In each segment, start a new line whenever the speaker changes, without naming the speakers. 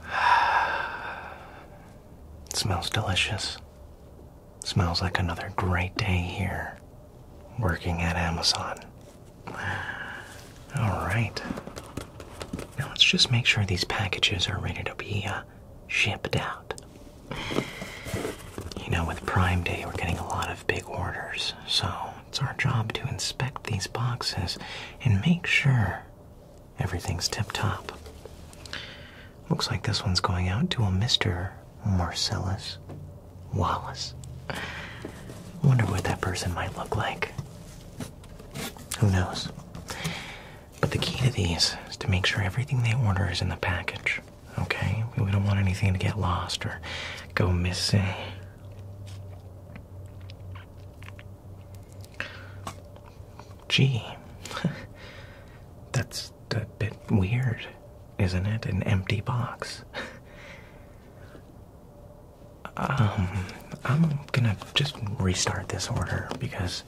smells delicious. Smells like another great day here working at Amazon. All right. Now let's just make sure these packages are ready to be uh, shipped out. You know, with Prime Day, we're getting a lot of big orders, so it's our job to inspect these boxes and make sure everything's tip top. Looks like this one's going out to a Mr. Marcellus Wallace. Wonder what that person might look like. Who knows? But the key to these is to make sure everything they order is in the package. Okay? We don't want anything to get lost or go missing. Gee, that's a bit weird, isn't it? An empty box. um, I'm gonna just restart this order because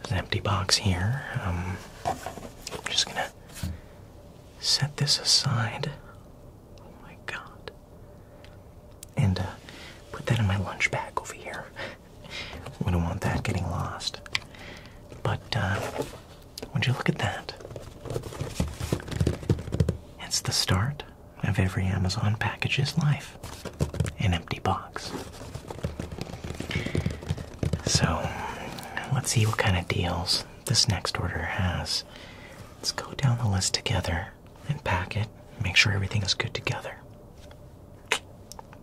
it's an empty box here. Um, I'm just gonna set this aside. Oh my god. And uh, put that in my lunch bag over here. Wouldn't want that getting lost. But uh, would you look at that? It's the start of every Amazon package's life an empty box. So, let's see what kind of deals this next order has. Let's go down the list together and pack it. Make sure everything is good together.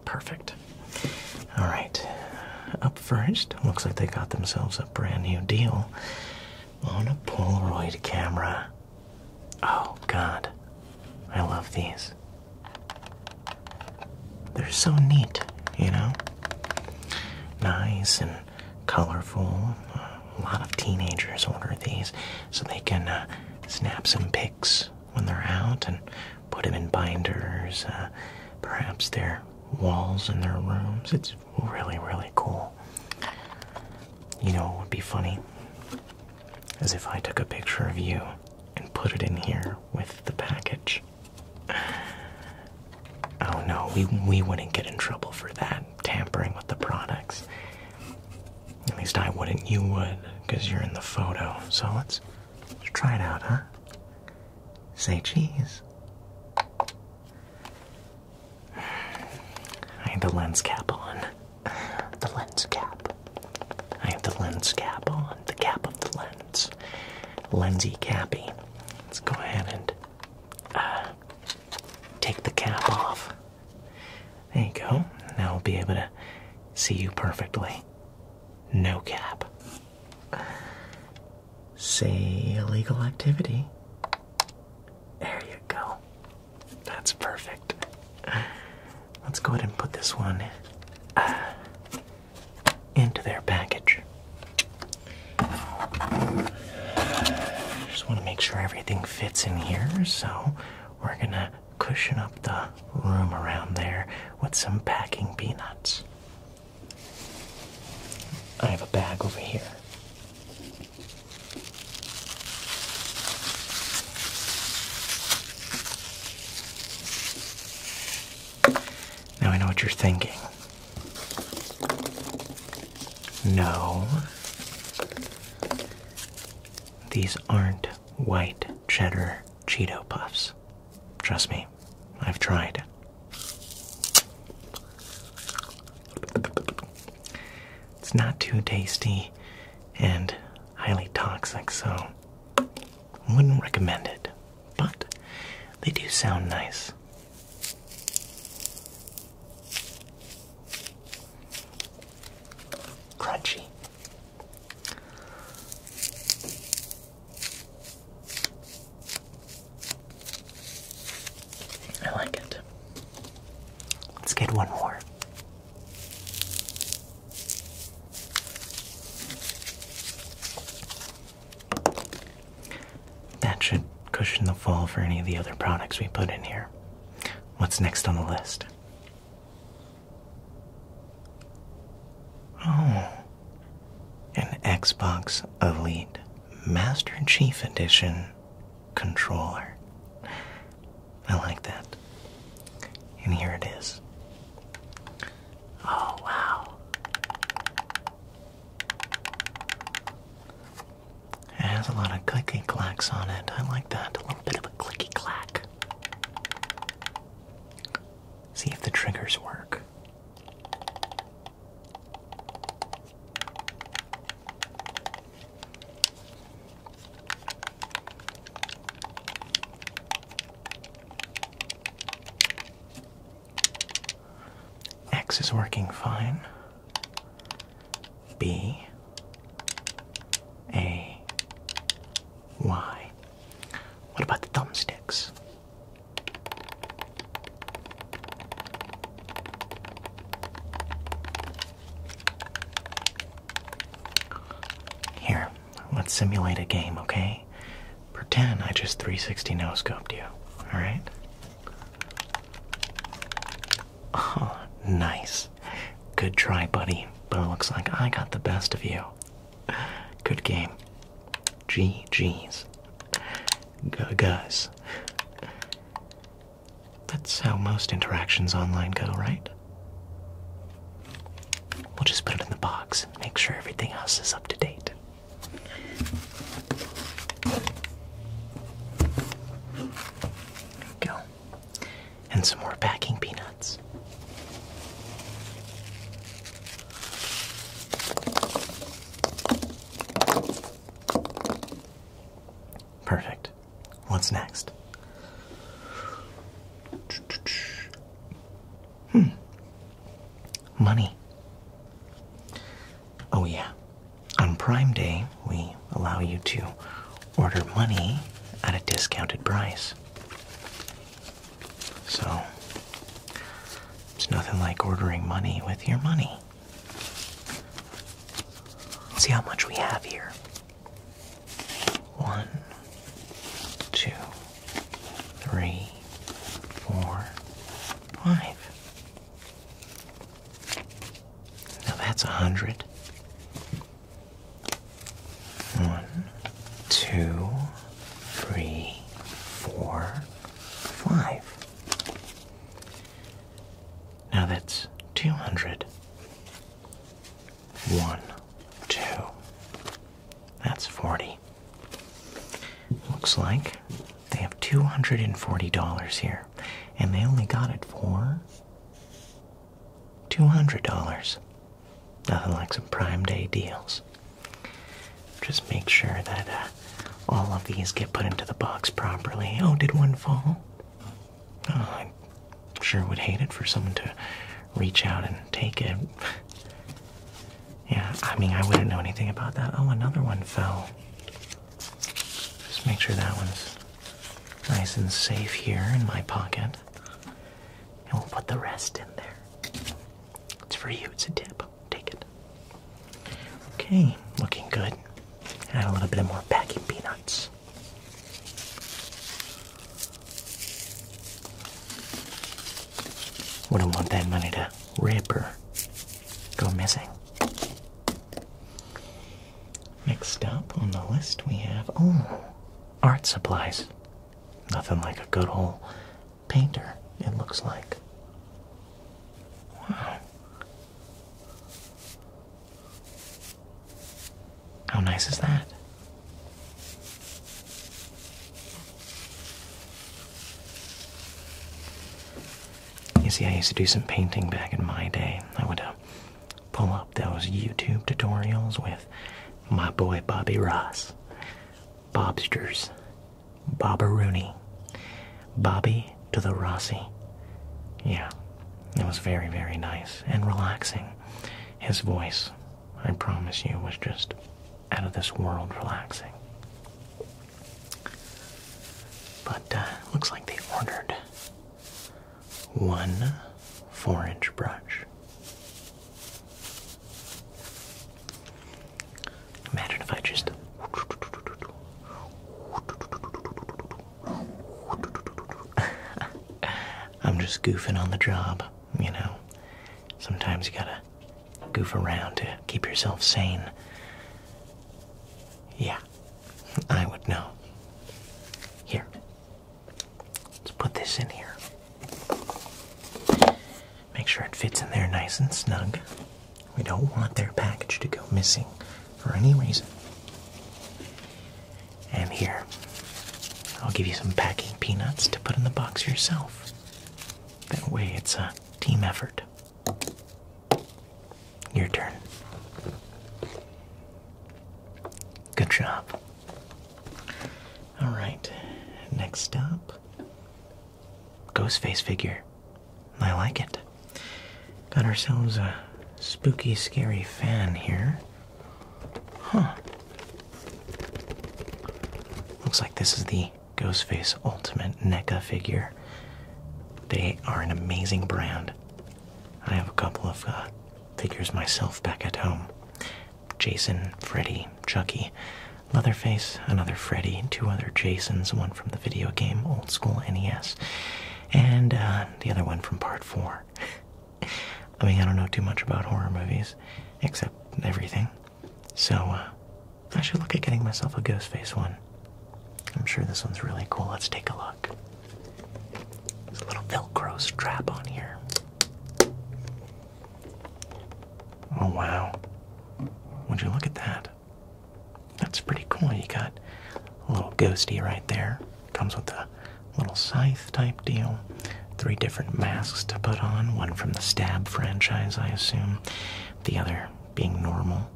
Perfect. All right. Up first, looks like they got themselves a brand new deal on a Polaroid camera. Oh, God. I love these. They're so neat, you know? Nice and colorful. A lot of teenagers order these so they can uh, snap some pics when they're out and put them in binders, uh, perhaps their walls in their rooms. It's really, really cool. You know it would be funny? As if I took a picture of you and put it in here with the package. Oh no, we we wouldn't get in trouble for that tampering with the products. At least I wouldn't. You would, because you're in the photo. So let's, try it out, huh? Say cheese. I have the lens cap on. The lens cap. I have the lens cap on. The cap of the lens. Lensy cappy. Let's go ahead and. Uh, take the cap off. There you go. Now we'll be able to see you perfectly. No cap. Say illegal activity. There you go. That's perfect. Let's go ahead and put this one uh, into their package. Just want to make sure everything fits in here, so we're gonna cushion up the room around there with some packing peanuts. I have a bag over here. Now I know what you're thinking. No. These aren't white cheddar Cheeto Puffs. Trust me, I've tried. It's not too tasty and highly toxic, so wouldn't recommend it. But they do sound nice. Crunchy. I like it. Let's get one more. That should cushion the fall for any of the other products we put in here. What's next on the list? Oh, an Xbox Elite Master Chief Edition controller. I like that. And here it is. Oh, wow. It has a lot of clicky clacks on it. I like that. A little bit of a clicky clack. See if the triggers work. X is working fine. B A Y. What about the thumbsticks? Here, let's simulate a game, okay? Pretend I just 360 noscoped you, alright? Oh, nice. Good try, buddy. But it looks like I got the best of you. Good game. GG's. Guys. That's how most interactions online go, right? We'll just put it in the box. and Make sure everything else is up to date go. And some more packing peanuts. Perfect. What's next? Hmm money. Oh, yeah. On Prime Day, we allow you to order money at a discounted price. So, it's nothing like ordering money with your money. Let's see how much we have here. One, two, three, four, five. Now that's a hundred. One, two, three, four, five. Now that's two hundred. One, two. That's 40. Looks like they have $240 here, and they only got it for $200. Nothing like some Prime Day deals. Just make sure that uh, all of these get put into the box properly. Oh, did one fall? Oh, I sure would hate it for someone to reach out and take it. Yeah, I mean, I wouldn't know anything about that. Oh, another one fell. Just make sure that one's nice and safe here in my pocket. And we'll put the rest in there. It's for you, it's a tip. Take it. Okay, looking good. Add a little bit more packing peanuts. Wouldn't want that money to rip or go missing. Next up on the list we have, oh, art supplies. Nothing like a good old painter, it looks like. Wow. How nice is that? You see, I used to do some painting back in my day. I would uh, pull up those YouTube tutorials with my boy Bobby Ross, Bobsters, Rooney, Bobby to the Rossi. Yeah, it was very, very nice and relaxing. His voice, I promise you, was just out of this world relaxing. But uh, looks like they ordered one four inch brush. Imagine if I just. I'm just goofing on the job, you know. Sometimes you gotta goof around, to keep yourself sane. Yeah, I would know. Here, let's put this in here. Make sure it fits in there nice and snug. We don't want their package to go missing for any reason. And here, I'll give you some packing peanuts to put in the box yourself. That way it's a team effort. Your turn. Good job. All right, next up. Ghostface figure. I like it. Got ourselves a spooky, scary fan here. Huh. Looks like this is the Ghostface Ultimate NECA figure. They are an amazing brand. I have a couple of uh, figures myself back at home Jason, Freddy, Chucky, Leatherface, another Freddy, two other Jasons, one from the video game, old school NES, and uh, the other one from part 4. I mean, I don't know too much about horror movies, except everything. So, uh, I should look at getting myself a Ghostface one. I'm sure this one's really cool. Let's take a look. There's a little Velcro strap on here. Oh, wow. Would you look at that? That's pretty cool. You got a little ghosty right there. Comes with a little scythe type deal three different masks to put on one from the Stab franchise, I assume, the other being normal,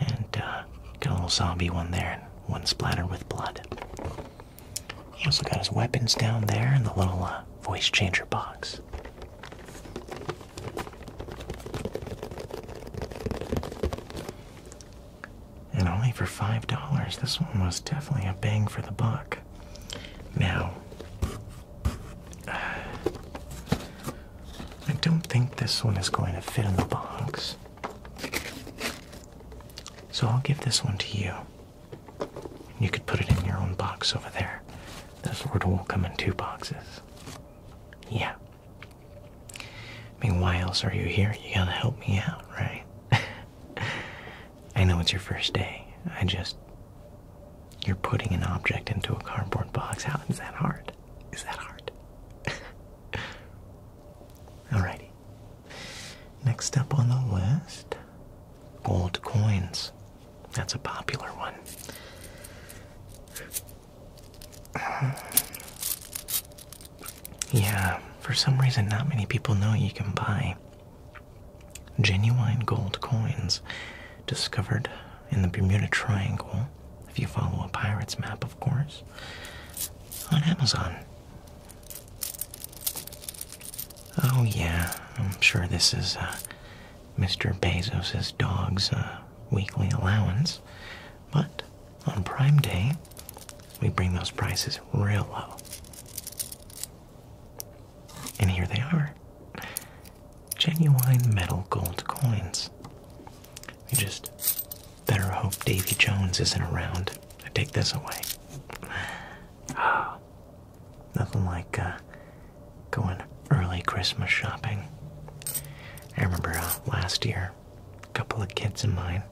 and uh, got a little zombie one there, and one splattered with blood. He also got his weapons down there in the little uh, voice changer box. And only for $5, this one was definitely a bang for the buck. Now, I don't think this one is going to fit in the box. So I'll give this one to you. You could put it in your own box over there. This word will come in two boxes. Yeah. I mean, why else are you here? You gotta help me out, right? I know it's your first day. I just. You're putting an object into a cardboard box. How is that hard? Is that hard? Alrighty. Next up on the list gold coins. That's a popular one. Yeah, for some reason, not many people know you can buy Genuine gold coins discovered in the Bermuda Triangle, if you follow a pirate's map, of course, on Amazon. Oh, yeah, I'm sure this is uh, Mr. Bezos' dog's uh, weekly allowance, but on Prime Day, we bring those prices real low. And here they are genuine metal gold coins. We just better hope Davy Jones isn't around to take this away. Oh, nothing like uh, going early Christmas shopping. I remember uh, last year, a couple of kids of mine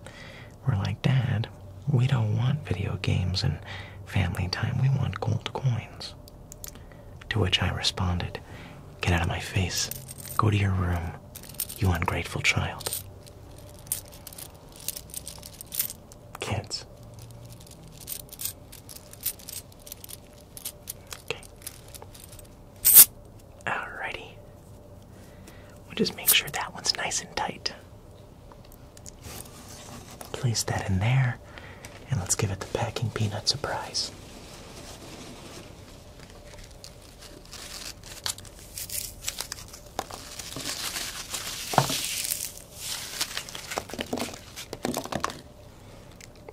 were like, Dad, we don't want video games and family time. We want gold coins. To which I responded, Get out of my face. Go to your room, you ungrateful child. Kids. Okay. Alrighty. We'll just make sure that one's nice and tight. Place that in there, and let's give it the packing peanut surprise.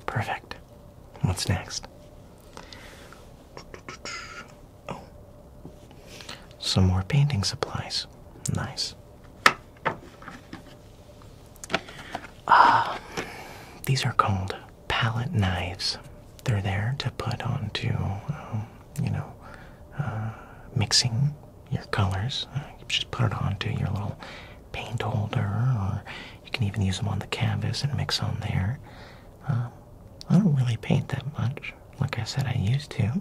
Perfect. What's next? Oh, some more painting supplies. Nice. Um, these are called palette knives. They're there to put onto, um, you know, uh, mixing your colors. Uh, just put it onto your little paint holder, or you can even use them on the canvas and mix on there. Um, I don't really paint that much. Like I said, I used to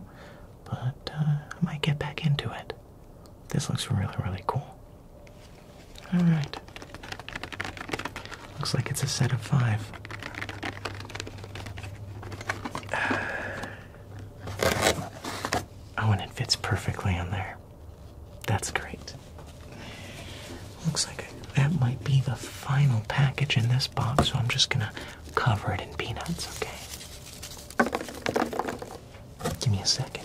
but uh, I might get back into it. This looks really, really cool. Alright. Looks like it's a set of five. Oh, and it fits perfectly in there. That's great. Looks like that might be the final package in this box, so I'm just gonna cover it in peanuts, okay? Give me a second.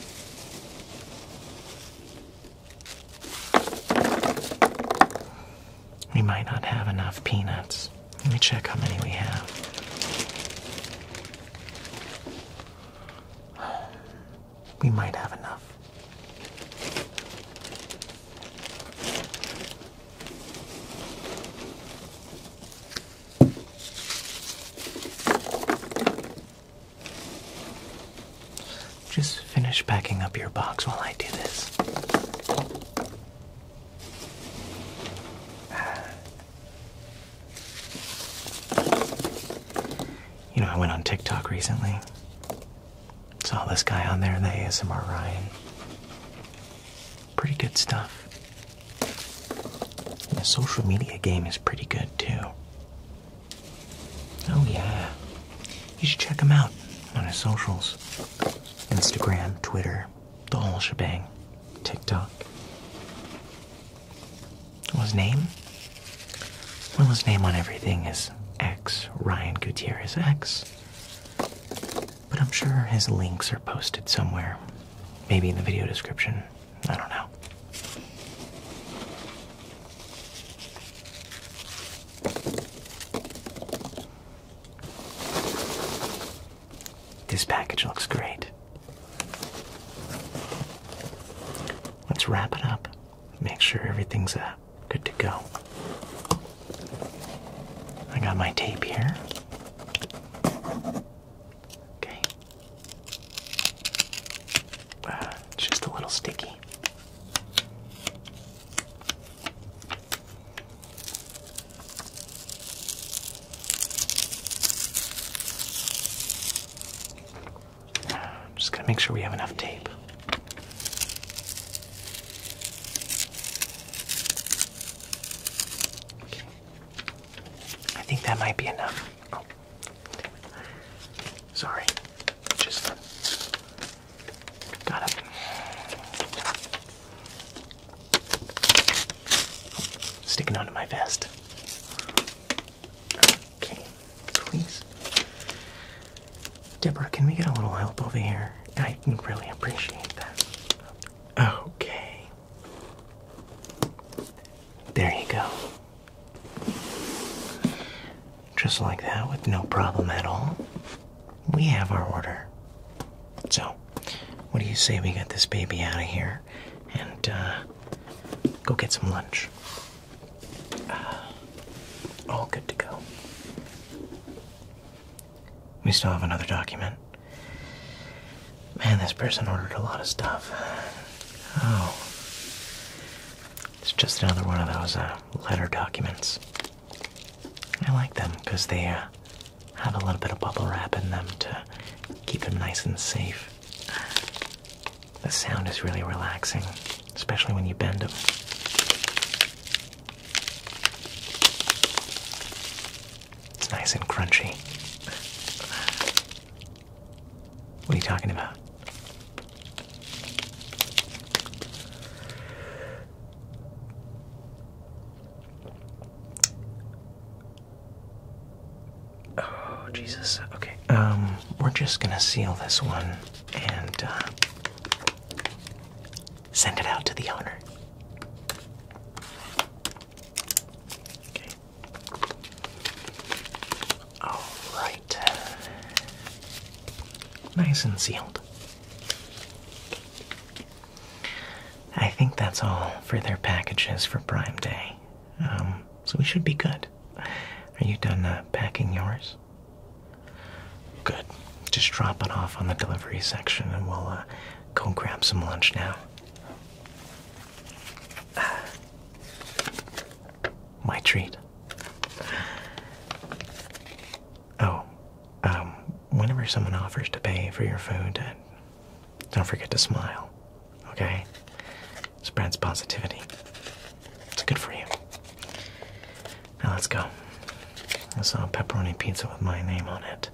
We might not have enough peanuts. Let me check how many we have. We might have enough. Just finish packing up your box while I do this. You know, I went on TikTok recently. Saw this guy on there, the ASMR Ryan. Pretty good stuff. the social media game is pretty good too. Oh, yeah. You should check him out on his socials Instagram, Twitter, the whole shebang, TikTok. Well, name? Well, his name on everything is X Ryan Gutierrez X. But I'm sure his links are posted somewhere. Maybe in the video description. I don't know. This package looks great. Let's wrap it up. Make sure everything's uh, good to go. I got my tape here. Okay. Uh, it's just a little sticky. just got to make sure we have enough tape. I think that might be enough. Oh. Sorry. Just got it. Sticking onto my vest. Okay, please. Deborah, can we get a little help over here? I really appreciate that. Okay. There you go. Just like that, with no problem at all, we have our order. So, what do you say we get this baby out of here and uh, go get some lunch? Uh, all good to go. We still have another document. Man, this person ordered a lot of stuff. Oh. It's just another one of those uh, letter documents. I like them because they uh, have a little bit of bubble wrap in them to keep them nice and safe. The sound is really relaxing, especially when you bend them. It's nice and crunchy. What are you talking about? Oh, Jesus. Okay. Um, we're just gonna seal this one and uh, Send it out to the owner. Okay. All right. Nice and sealed. I think that's all for their packages for Prime Day. Um, so we should be good. Are you done uh, packing yours? Good. Just drop it off on the delivery section and we'll uh, go grab some lunch now. My treat. Oh, um, whenever someone offers to pay for your food, uh, don't forget to smile, okay? Spreads positivity. It's good for you. Now let's go. I saw a pepperoni pizza with my name on it.